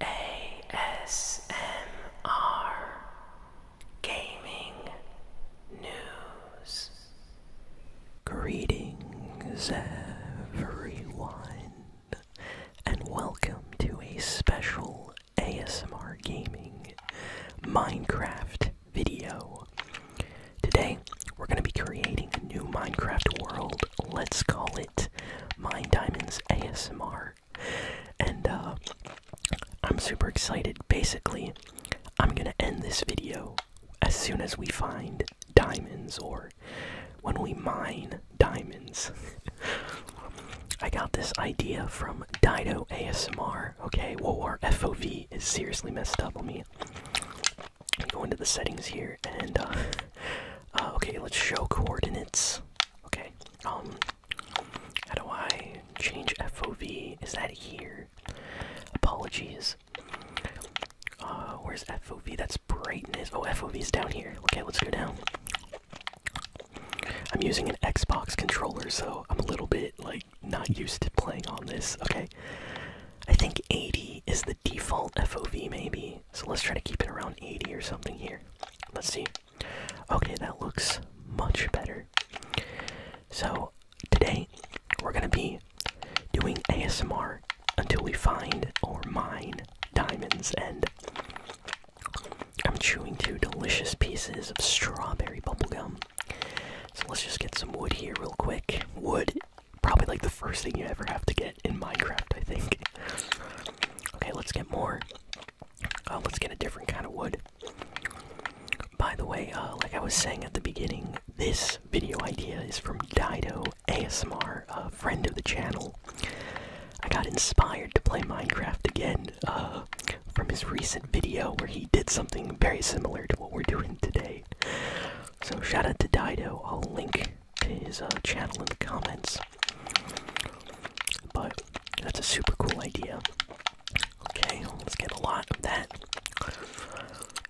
ASMR Gaming News. Greetings, everyone, and welcome to a special ASMR Gaming Minecraft video. Today, we're going to be creating a new Minecraft world. Let's call it Mine Diamonds ASMR. And uh, I'm super excited. Basically, I'm gonna end this video as soon as we find diamonds or when we mine diamonds. I got this idea from Dido ASMR. Okay, whoa, our FOV is seriously messed up on me. Let me go into the settings here and uh, uh, okay, let's show coordinates. Okay, um, how do I change FOV? Is that here? Apologies. Uh, where's FOV? That's brightness. Oh, FOV is down here. Okay, let's go down. I'm using an Xbox controller, so I'm a little bit, like, not used to playing on this. Okay. I think 80 is the default FOV maybe. So let's try to keep it around 80 or something here. Let's see. Okay, that looks much better. So today we're gonna be doing ASMR until we find or mine diamonds and I'm chewing two delicious pieces of strawberry bubblegum. So let's just get some wood here real quick. Wood, probably like the first thing you ever have to get in Minecraft, I think. okay, let's get more. Uh, let's get a different kind of wood. By the way, uh, like I was saying at the beginning, this video idea is from Dido ASMR, a friend of the channel. I got inspired to play Minecraft again uh, from his recent video where he did something very similar to what we're doing today. So shout out to Dido. I'll link his uh, channel in the comments. But that's a super cool idea. Okay, let's get a lot of that.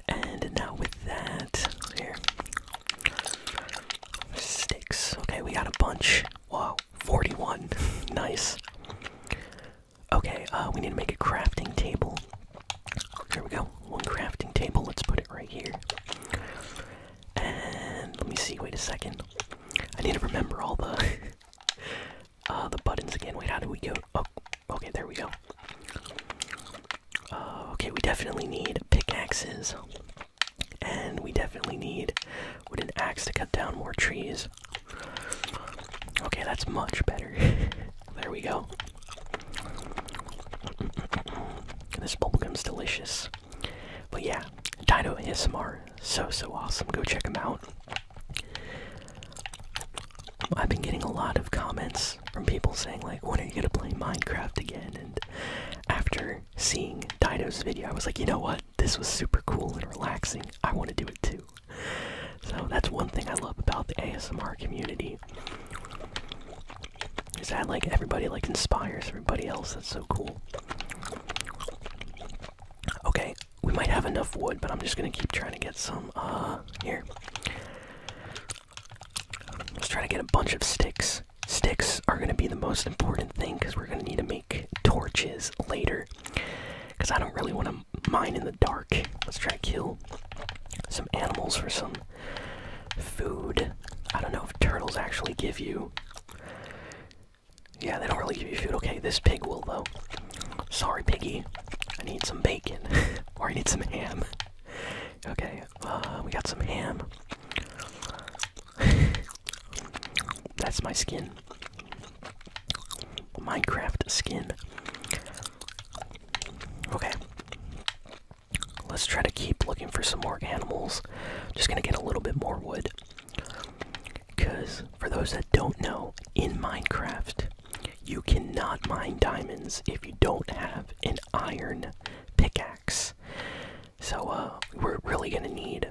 And now with that, here. Sticks. Okay, we got a bunch. Wow, 41. nice. Okay, uh, we need to make a crafting table. Here we go. One crafting table. Let's put it right here. And let me see. Wait a second. I need to remember all the uh, the buttons again. Wait, how do we go? Oh, okay, there we go. Uh, okay, we definitely need pickaxes, and we definitely need wooden axe to cut down more trees. Okay, that's much better. there we go. this bubble bubblegum's delicious. But yeah, Dino ASMR, so so awesome. Go check him out. I've been getting a lot of comments from people saying like, when are you gonna play Minecraft again? And after seeing Dino's video, I was like, you know what? This was super cool and relaxing. I want to do it too. So that's one thing I love about the ASMR community is that like everybody like inspires everybody else. That's so cool. Okay, we might have enough wood, but I'm just gonna keep trying to get some. Uh, here. Let's try to get a bunch of sticks. Sticks are gonna be the most important thing because we're gonna need to make torches later. Because I don't really want to mine in the dark. Let's try to kill some animals for some food. I don't know if turtles actually give you yeah, they don't really give you food. Okay, this pig will, though. Sorry, piggy. I need some bacon. or I need some ham. Okay, uh, we got some ham. That's my skin. Minecraft skin. Okay. Let's try to keep looking for some more animals else. Just gonna get a little bit more wood. Because, for those that don't know, in Minecraft, you cannot mine diamonds if you don't have an iron pickaxe. So, uh, we're really gonna need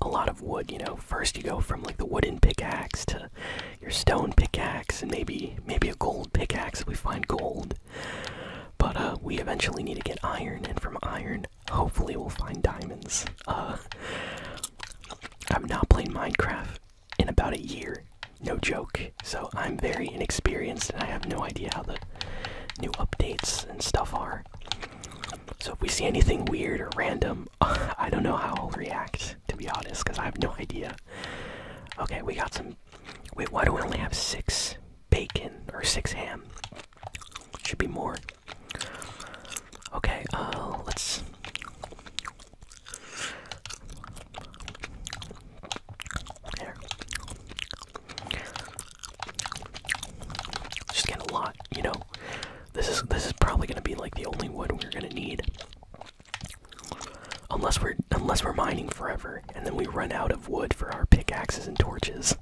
a lot of wood, you know. First you go from like the wooden pickaxe to your stone pickaxe and maybe maybe a gold pickaxe if we find gold. But uh we eventually need to get iron and from iron Hopefully, we'll find diamonds. Uh, i am not playing Minecraft in about a year, no joke. So I'm very inexperienced, and I have no idea how the new updates and stuff are. So if we see anything weird or random, I don't know how I'll react, to be honest, because I have no idea. Okay, we got some. Wait, why do we only have six bacon or six ham? Should be more. Okay, uh, let's. Just get a lot, you know. This is this is probably gonna be like the only wood we're gonna need, unless we're unless we're mining forever, and then we run out of wood for our pickaxes and torches.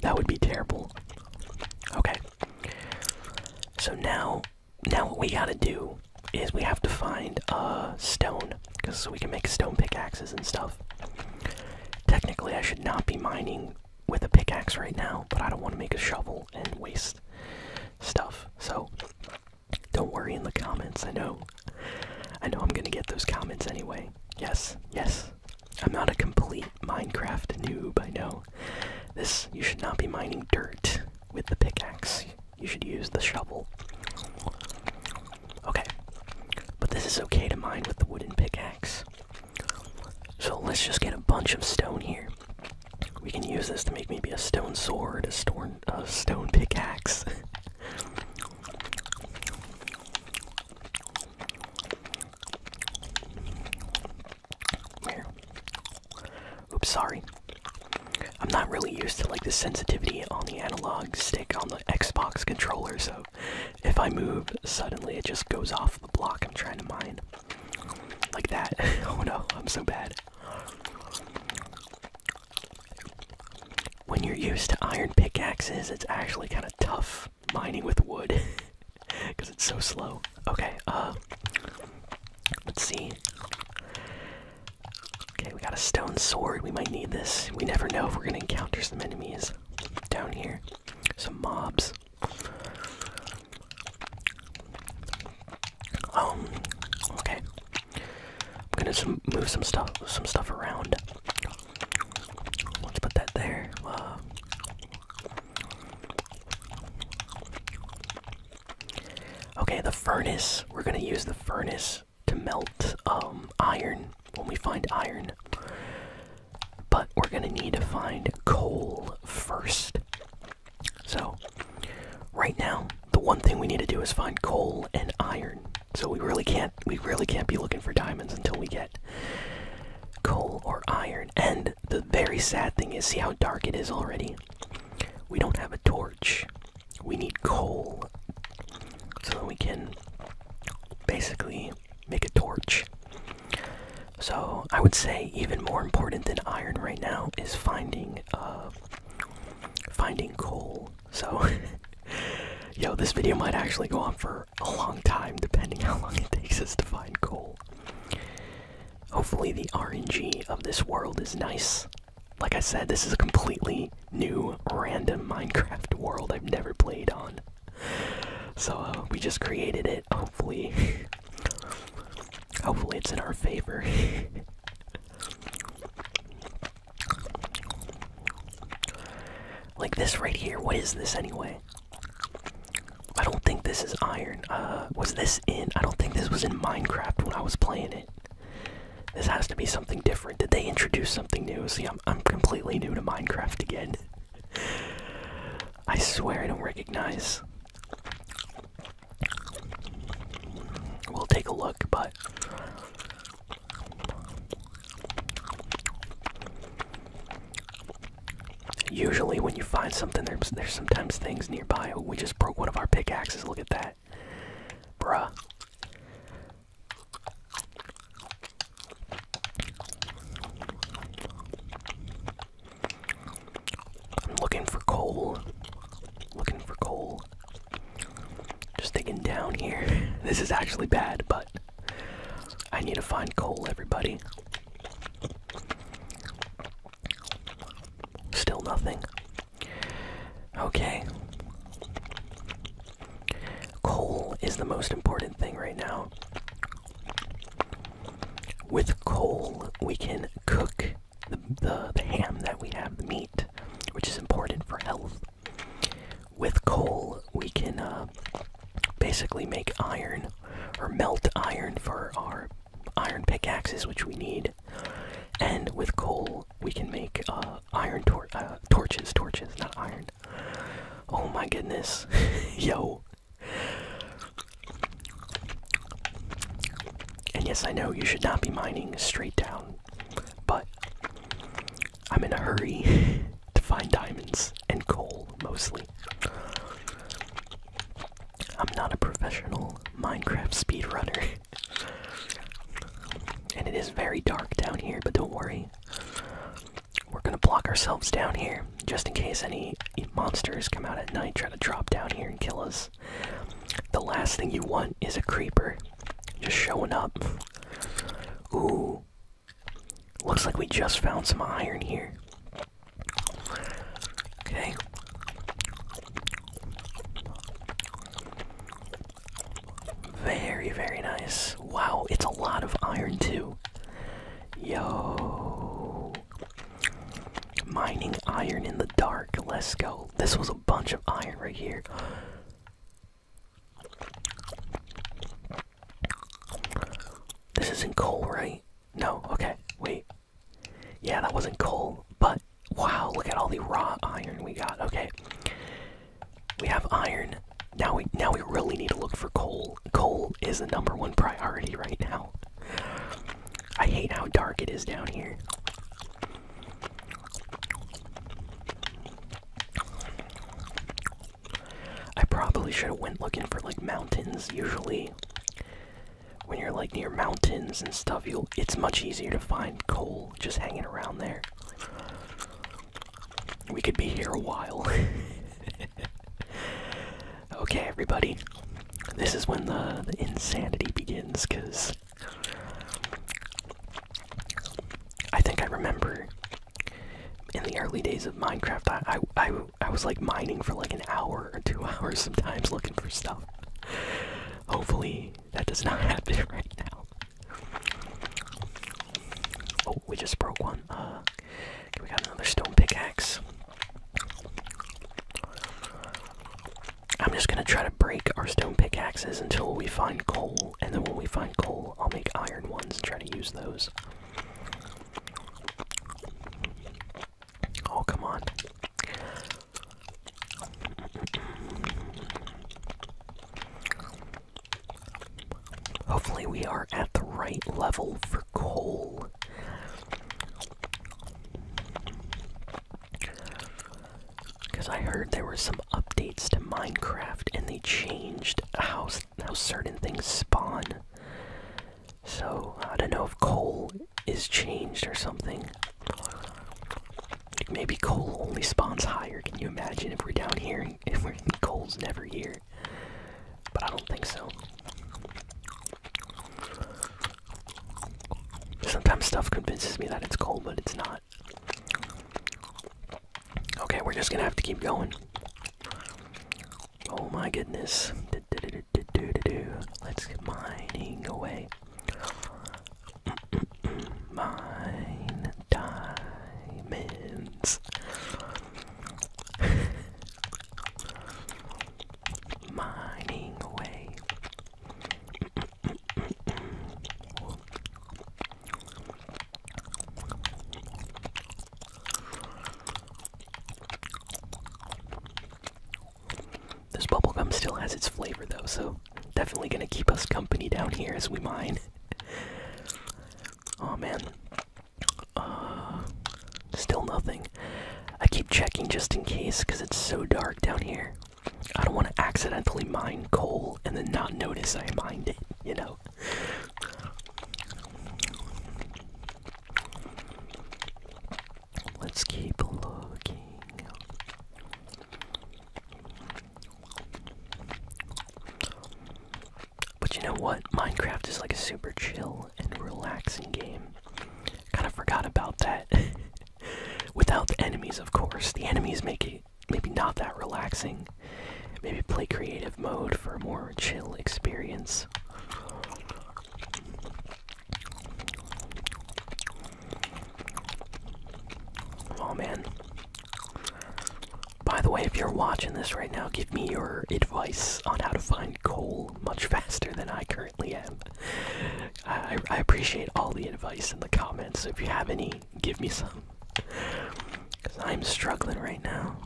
That would be terrible. Okay. So now, now what we gotta do is we have to find a stone, because we can make stone pickaxes and stuff. Technically, I should not be mining with a pickaxe right now, but I don't want to make a shovel and waste stuff. So don't worry in the comments. I know, I know I'm gonna get those comments anyway. Yes, yes, I'm not a complete Minecraft noob, I know. This, you should not be mining dirt with the pickaxe. You should use the shovel. Okay. But this is okay to mine with the wooden pickaxe. So let's just get a bunch of stone here. We can use this to make maybe a stone sword, a stone, a stone pickaxe. Oops, sorry. I'm not really used to like the sensitivity on the analog stick on the Xbox controller, so if I move suddenly it just goes off the block I'm trying to mine. Like that. oh no, I'm so bad. When you're used to iron pickaxes, it's actually kind of tough mining with wood because it's so slow. Okay, uh, let's see. Okay, we got a stone sword. We might need this. We never know if we're gonna encounter some enemies down here, some mobs. Um. Okay. I'm gonna some, move some stuff, some stuff around. Let's put that there. okay, the furnace. We're gonna use the furnace to melt um, iron when we find iron. But we're gonna need to find coal first. So, right now, the one thing we need to do is find coal and iron. So, we really can't we really can't be looking for diamonds until we get coal or iron. And the very sad thing is see how dark it is already. We don't have a torch. We need coal so that we can basically make a torch. So I would say even more important than iron right now is finding uh finding coal. So yo, this video might actually go on for a long time, depending how long it takes us to find coal. Hopefully, the RNG of this world is nice. Like I said, this is a completely new, random Minecraft world I've never played on. So, uh, we just created it. Hopefully, hopefully it's in our favor. like this right here, what is this anyway? I don't think this is iron. Uh, was this in? I don't think this was in Minecraft when I was playing it. This has to be something different. Did they introduce something new? See, I'm completely new to Minecraft again. I swear I don't recognize. We'll take a look, but Usually, when you find something, there's, there's sometimes things nearby. We just broke one of our pickaxes. Look at that. Bruh. I'm looking for coal. Looking for coal. Just digging down here. This is actually bad, but I need to find coal, everybody. Still nothing. Okay. Coal is the most important thing right now. With coal, we can cook the, the, ham that we have, the meat, which is important for health with coal, we can uh, basically make iron or melt iron for our iron pickaxes, which we need. And with coal, we can make uh, iron uh, torches, torches, not iron. Oh my goodness, yo. And yes, I know you should not be mining straight down, but I'm in a hurry to find diamonds and coal mostly. I'm not a professional Minecraft speedrunner. and it is very dark down here, but don't worry. We're gonna block ourselves down here just in case any monsters come out at night, try to drop down here and kill us. The last thing you want is a creeper just showing up. Ooh, Looks like we just found some iron here. Okay. Very, very nice. Wow, it's a lot of iron too. Yo. Mining iron in the dark. Let's go. This was a bunch of iron right here. This isn't coal, right? No, okay, wait. Yeah, that wasn't coal, but wow, look at all the raw iron we got. Okay. We have iron. Now we now we really need to look for coal. Coal is the number one priority right now. I hate how dark it is down here. I probably should have went looking for like mountains. Usually, when you're like near mountains and stuff, you'll it's much easier to find coal just hanging around there. We could be here a while. okay, everybody, this is when the, the insanity begins because I think I remember in the early days of Minecraft, I, I, I, was like mining for like an hour or two hours sometimes looking for stuff. Hopefully, that does not happen right now. Oh, we just broke one. Uh, we got another stone pickaxe. I'm just gonna try to break our stone pickaxes until we find coal, and then when we find coal, I'll make iron ones and try to use those. Oh, come on. Hopefully, we are at the right level for coal. Because I heard there were some updates to Minecraft and they changed how, how certain things spawn. So I don't know if coal is changed or something. Maybe coal only spawns higher. Can you imagine if we're down here and we're, coal's never here? But I don't think so. Sometimes stuff convinces me that it's coal, but it's not. Okay, we're just gonna have to keep going. Oh my goodness. Let's get mining away. Mine diamonds. Mining away. This bubblegum still has its flavor though, so definitely gonna keep us company down here as we mine. oh man. Uh, still nothing. I keep checking just in case because it's so dark down here. I don't want to accidentally mine coal and then not notice I mined it, you know? Let's keep looking. But you know what? Minecraft is like a super chill and relaxing game. Kind of forgot about that. Without the enemies, of course. The enemies make it maybe not that relaxing. Maybe play creative mode for a more chill experience. Oh man. By the way, if you're watching this right now, give me your advice on how to find coal much faster than I currently am. I, I appreciate all the advice in the comments. If you have any, give me some. Because I'm struggling right now.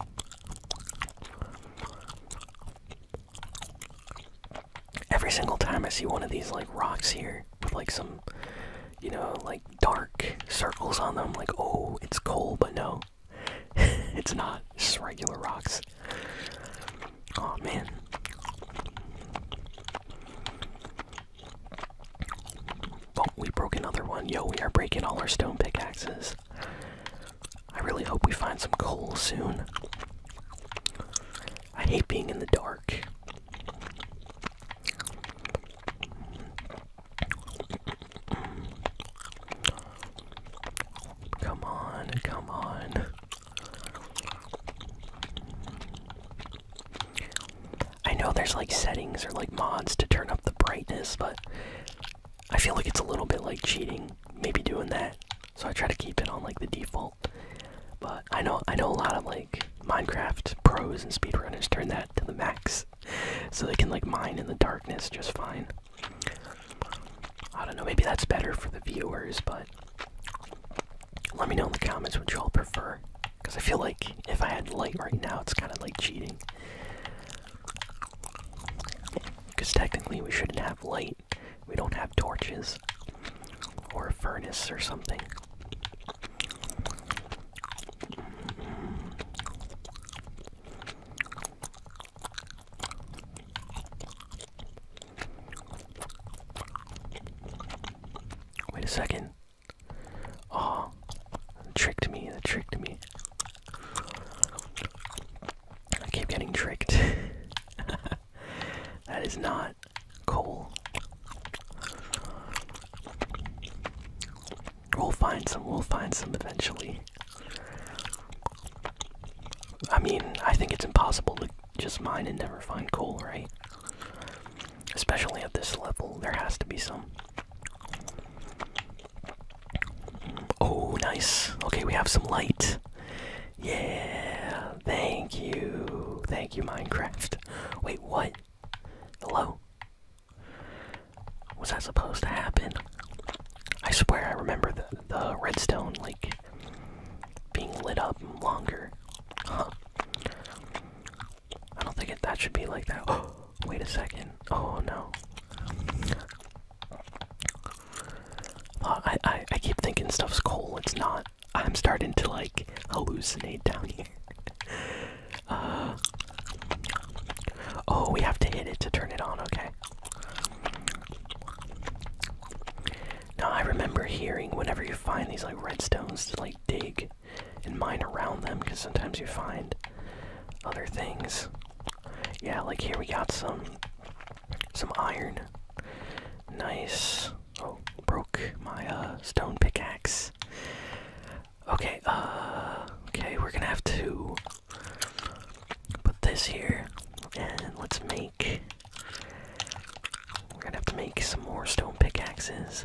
Every single time I see one of these like rocks here with like some, you know, like dark circles on them, like, oh, it's coal, but no, it's not. just regular rocks. Oh man. Oh, we broke another one. Yo, we are breaking all our stone pickaxes. I really hope we find some coal soon. I hate being in the dark. Come on, come on. I know there's like settings or like mods to turn up the brightness, but I feel like it's a little bit like cheating, maybe doing that. So I try to keep it on like the default. But I know I know a lot of like Minecraft pros and speedrunners turn that to the max, so they can like mine in the darkness just fine. I don't know, maybe that's better for the viewers, but let me know in the comments what you all prefer. Because I feel like if I had light right now, it's kind of like cheating. Because technically we shouldn't have light. We don't have torches. Or a furnace or something. Wait a second. Oh, it tricked me, it tricked me. I keep getting tricked. that is not coal. We'll find some, we'll find some eventually. I mean, I think it's impossible to just mine and never find coal, right? Especially at this level, there has to be some. Oh, nice. Okay, we have some light. Yeah, thank you. Thank you, Minecraft. Wait, what? Hello? Was that supposed to happen? I swear I remember the, the redstone, like, being lit up longer. Huh. I don't think that should be like that. Oh, wait a second. Oh, no. I, I keep thinking stuff's coal. It's not. I'm starting to like hallucinate down here. Uh, oh, we have to hit it to turn it on. Okay. Now I remember hearing whenever you find these like redstones to like dig and mine around them because sometimes you find other things. Yeah, like here we got some some iron. Nice. Oh, broke my uh stone pickaxe. Okay, uh okay, we're gonna have to put this here and let's make we're gonna have to make some more stone pickaxes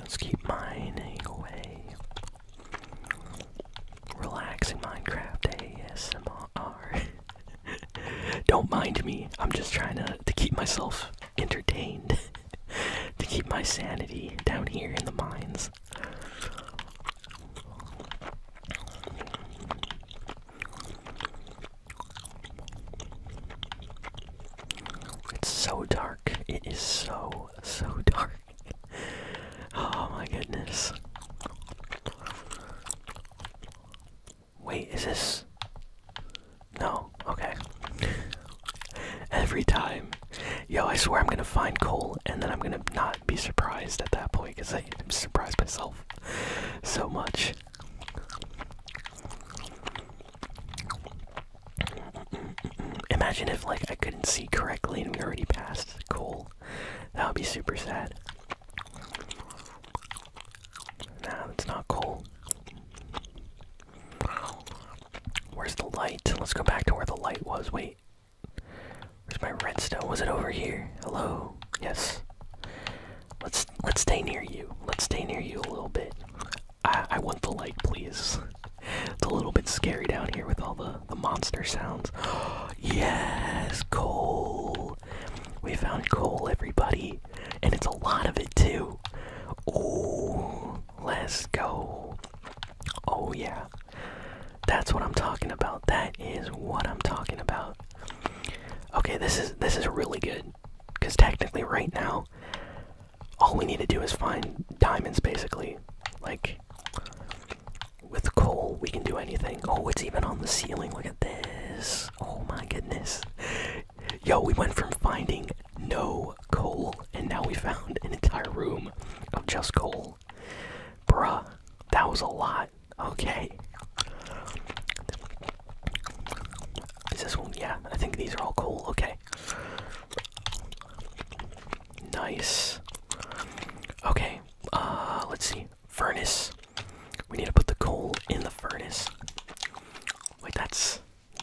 Let's keep mining away. Relaxing Minecraft ASMR. Don't mind me. I'm just trying to, to keep myself entertained. to keep my sanity down here in the mines. It's so dark. It is so, so dark. oh my goodness. Wait, is this. No, okay. Every time. Yo, I swear I'm gonna find coal and then I'm gonna not be surprised at that point because I. I'm surprised myself so much. Imagine if like I couldn't see correctly and we already passed Cool. That would be super sad. Nah, that's not cool. Where's the light? Let's go back to where the light was. Wait, Where's my redstone? Was it over here? Hello? Yes. Let's let's stay near you. Let's stay near you a little bit. I I want the light, please. It's a little bit scary down here with all the the monster sounds. yes, coal. We found coal, everybody, and it's a lot of it too. Oh, let's go. Oh yeah. That's what I'm talking about. That is what I'm talking about. Okay, this is this is really good. Cause technically right now all we need to do is find diamonds basically. Like with coal we can do anything. Oh, it's even on the ceiling. Look at this. Oh my goodness. Yo, we went from finding no coal and now we found an entire room of just coal. Bruh, that was a lot. Okay. Is this one? Yeah, I think these are all cool. Okay. Nice. Okay, uh, let's see. Furnace. We need to put the coal in the furnace. Wait, that's.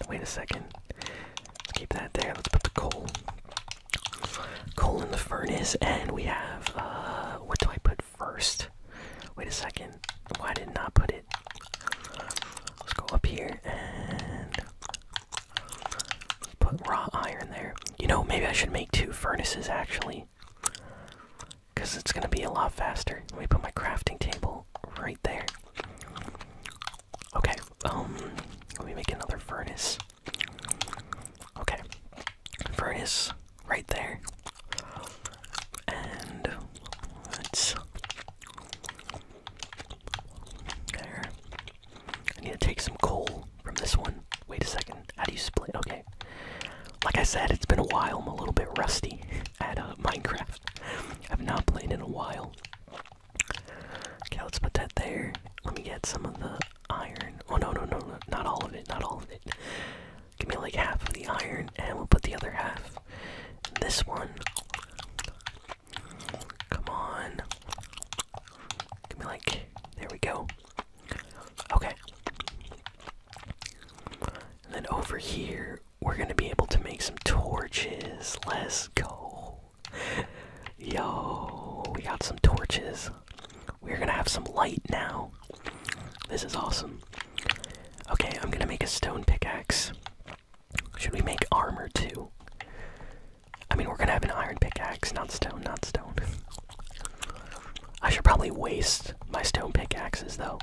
Wait a second. Let's keep that there. Let's put the coal coal in the furnace, and we have uh, what do I put first? Wait a second. Why did not put it? Let's go up here and put raw iron there. You know, maybe I should make two furnaces actually, because it's gonna be a lot faster. Let me put my crafting table right there. Okay. Um, let me make another furnace. Okay. Furnace right there. And let there. I need to take some coal from this one. Wait a second. How do you split? Okay. Like I said, it's been a while. I'm a little bit rusty at uh, Minecraft. I've not played in a while. Okay, let's put that there. Let me get some of the iron. Oh no, no, no, no, not all of it, not all of it. Give me like half of the iron, and we'll put the other half. This one. Come on. Give me like, there we go. Okay. And then over here, we're gonna be able to make some torches. Let's go. Yo, we got some torches. We're gonna have some light now. This is awesome. Okay, I'm gonna make a stone pickaxe. Should we make armor too? I mean, we're gonna have an iron pickaxe, not stone, not stone. I should probably waste my stone pickaxes though.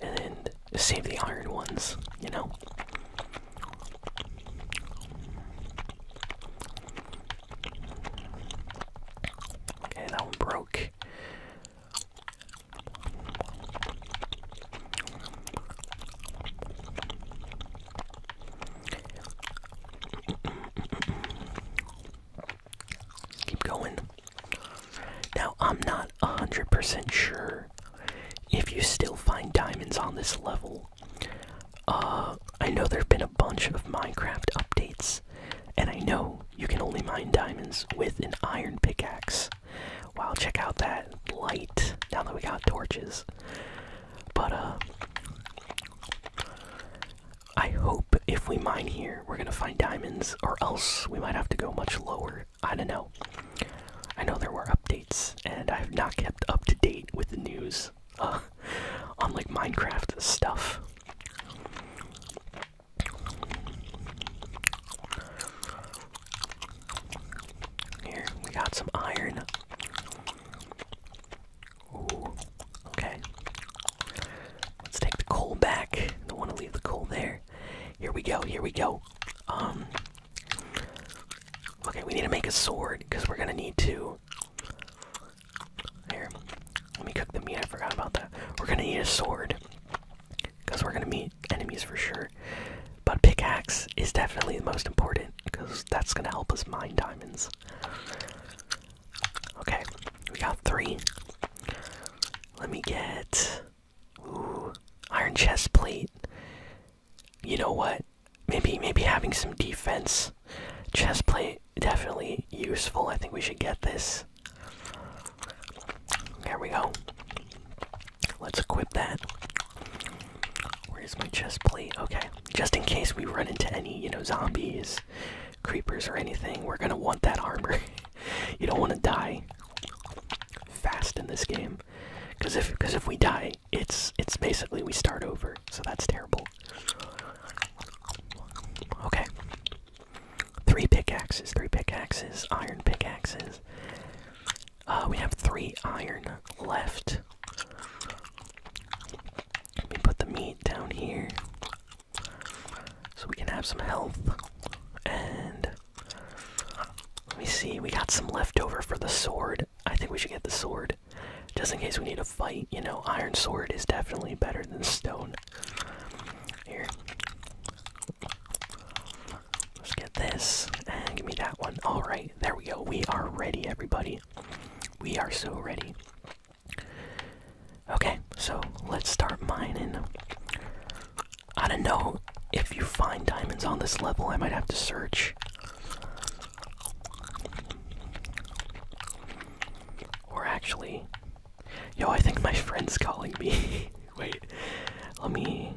And then save the iron ones, you know? Okay, that one broke. keep going. Now, I'm not 100% sure if you still find diamonds on this level. Uh, I know there have been a bunch of Minecraft updates, and I know you can only mine diamonds with an iron pickaxe. Wow, check out that light now that we got torches. But, uh, I hope if we mine here, we're gonna find diamonds, or else we might have to go much lower. I don't know. I know there were updates, and I have not kept up to date with the news uh, on like Minecraft stuff. Here, we got some iron. Ooh, okay. Let's take the coal back. Don't want to leave the coal there. Here we go, here we go. Um Okay, we need to make a sword because we're gonna need to here, let me cook the meat. I forgot about that. We're gonna need a sword because we're gonna meet enemies for sure. But pickaxe is definitely the most important because that's gonna help us mine diamonds. Okay, we got three. Let me get ooh, iron chest plate. You know what? Maybe maybe having some defense Chest plate, definitely useful. I think we should get this. There we go. Let's equip that. Where's my chest plate? Okay. Just in case we run into any, you know, zombies, creepers, or anything, we're gonna want that armor. you don't wanna die fast in this game. Cause if cause if we die, it's it's basically we start over, so that's terrible. Okay. Three pickaxes, three pickaxes, iron pickaxes. Uh, we have three iron left. Let me put the meat down here so we can have some health. And let me see, we got some leftover for the sword. I think we should get the sword just in case we need to fight. You know, iron sword is definitely better than stone. Here. Let's get this and give me that one. Alright, there we go. We are ready, everybody. We are so ready. Okay, so let's start mining. I don't know if you find diamonds on this level, I might have to search. Or actually, Yo, I think my friend's calling me. Wait, let me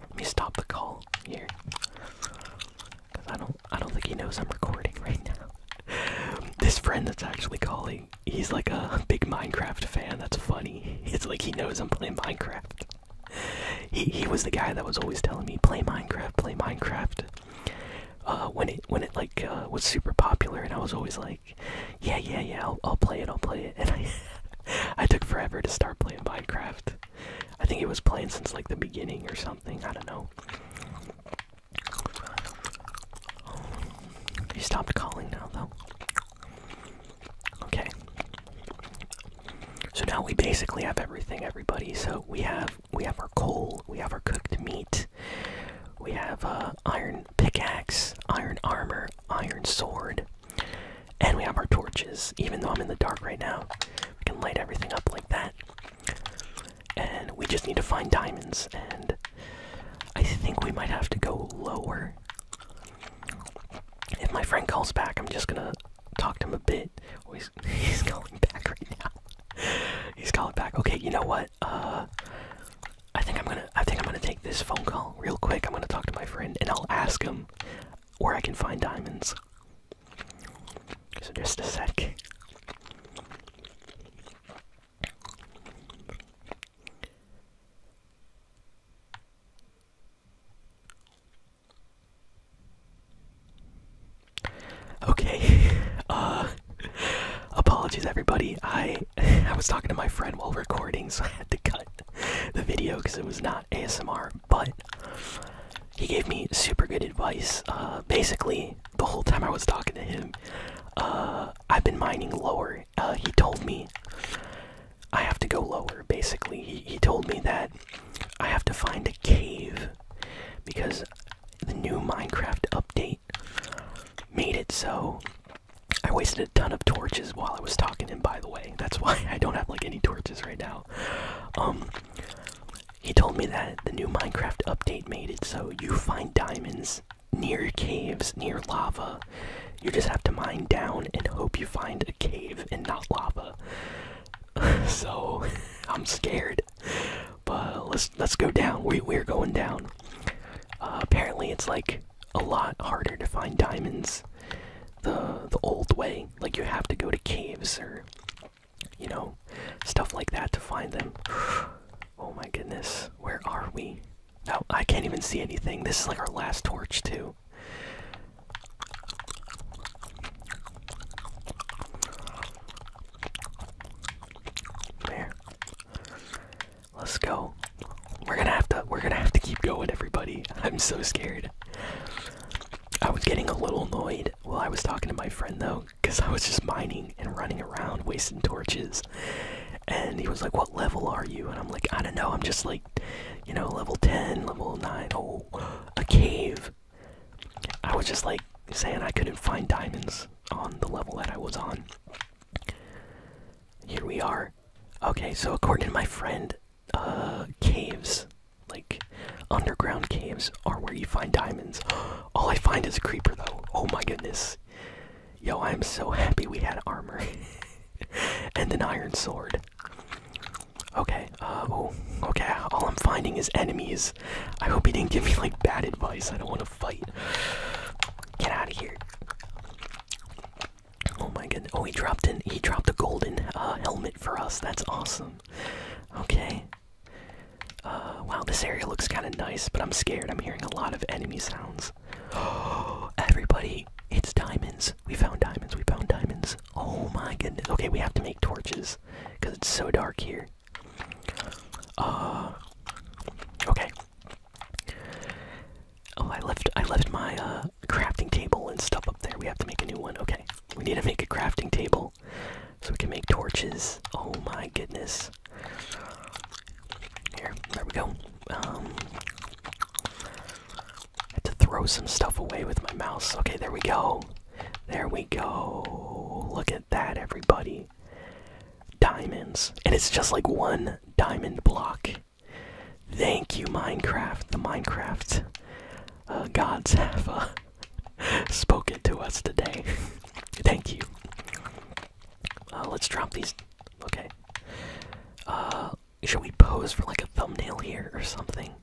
let me stop the call here, cause I don't I don't think he knows I'm recording right now. this friend that's actually calling, he's like a big Minecraft fan. That's funny. It's like he knows I'm playing Minecraft. He he was the guy that was always telling me play Minecraft, play Minecraft. Uh, when it when it like uh, was super popular, and I was always like, yeah, yeah, yeah, I'll, I'll play it, I'll play it, and I I took forever to start playing Minecraft. I think it was playing since like the beginning or something. I don't know. He stopped calling now, though. Okay. So now we basically have everything, everybody. So we have we have our coal, we have our cooked meat, we have uh, iron pickaxe, iron armor, iron sword, and we have our torches. Even though I'm in the dark right now, we can light everything up like that. And we just need to find diamonds, and I think we might have to go lower. If my friend calls back, I'm just gonna talk to him a bit. Oh, he's, he's calling back right now. He's calling back. Okay, you know what? uh, I think I'm gonna, I think I'm gonna take this phone call real quick. I'm gonna talk to my friend and I'll ask him where I can find diamonds. So just a sec. Okay, uh, Apologies, everybody. I I was talking to my friend while recording, so I had to cut the video because it was not ASMR. But he gave me super good advice. Uh, basically, the whole time I was talking to him, uh, I've been mining lower. Uh, he told me I have to go lower. Basically, he told me that I have to find a cave because the new Minecraft update made it so I wasted a ton of torches while I was talking to him by the way. That's why I don't have like any torches right now. Um he told me that the new Minecraft update made it so you find diamonds near caves, near lava. You just have to mine down and hope you find a cave and not lava. so I'm scared. But let's let's go down. We we're going down. Uh, apparently, it's like a lot harder to find diamonds the the old way. Like you have to go to caves or you know stuff like that to find them. oh my goodness, where are we? No, oh, I can't even see anything. This is like our last torch too. There. Let's go. We're gonna have to we're gonna have to keep going everybody. I'm so scared. I was getting a little annoyed while I was talking to my friend though, because I was just mining and running around wasting torches. And he was like, What level are you? And I'm like, I don't know, I'm just like, you know, level 10, level 9. Oh, a cave. I was just like saying I couldn't find diamonds on the level that I was on. Here we are. Okay, so according to my friend, uh, caves, like underground caves, are where you find diamonds. All I find is a creeper, though. Oh my goodness. Yo, I'm so happy we had armor and an iron sword. Okay, oh, okay, all I'm finding is enemies. I hope he didn't give me, like, bad advice. I don't want to fight. Get out of here. Oh my goodness. Oh, he dropped in. He dropped a golden uh, helmet for us. That's awesome. Okay. Uh, wow, this area looks kind of nice, but I'm scared. I'm hearing a lot of enemy sounds. Oh, everybody, it's diamonds. We found diamonds. We found diamonds. Oh my goodness. Okay, we have to make torches because it's so dark here. Uh, okay. Oh, I left I left my uh, crafting table and stuff up there. We have to make a new one. Okay, we need to make a crafting table so we can make torches. Oh my goodness! Here, there we go. Um, I had to throw some stuff away with my mouse. Okay, there we go. There we go. Look at that, everybody diamonds. And it's just like one diamond block. Thank you, Minecraft. The Minecraft uh, gods have uh, spoken to us today. Thank you. Uh, let's drop these. Okay. should we pose for like a thumbnail here or something?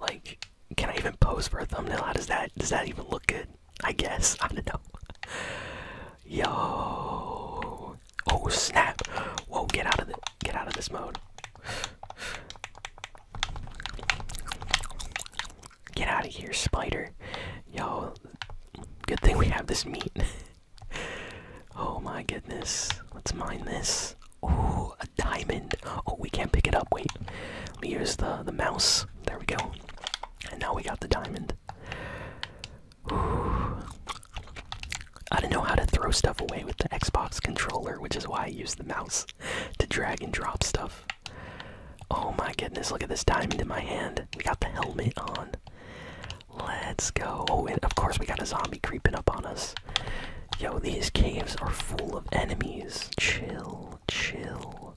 Like, can I even pose for a thumbnail? How does that does that even look good? I guess. I don't know. Yo. Oh snap. Whoa, get out of the get out of this mode. Get out of here, spider. Yo, good thing we have this meat. oh my goodness. Let's mine this. Oh, a diamond. Oh, we can't pick it up. Wait. Let me use the the mouse. There we go. And now we got the diamond. Ooh. I do not know how to throw stuff away with the Xbox controller, which is why I use the mouse to drag and drop stuff. Oh my goodness, look at this diamond in my hand. We got the helmet on. Let's go. Oh, and of course, we got a zombie creeping up on us. Yo, these caves are full of enemies. Chill, chill.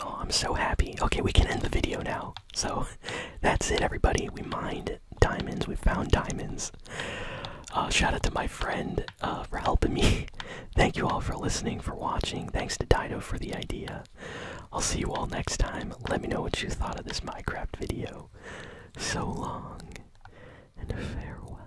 Oh, I'm so happy. Okay, we can end the video now. So that's it, everybody. We mined diamonds. We found diamonds. Uh, shout out to my friend uh, for helping me. Thank you all for listening, for watching. Thanks to Dido for the idea. I'll see you all next time. Let me know what you thought of this Minecraft video. So long and farewell.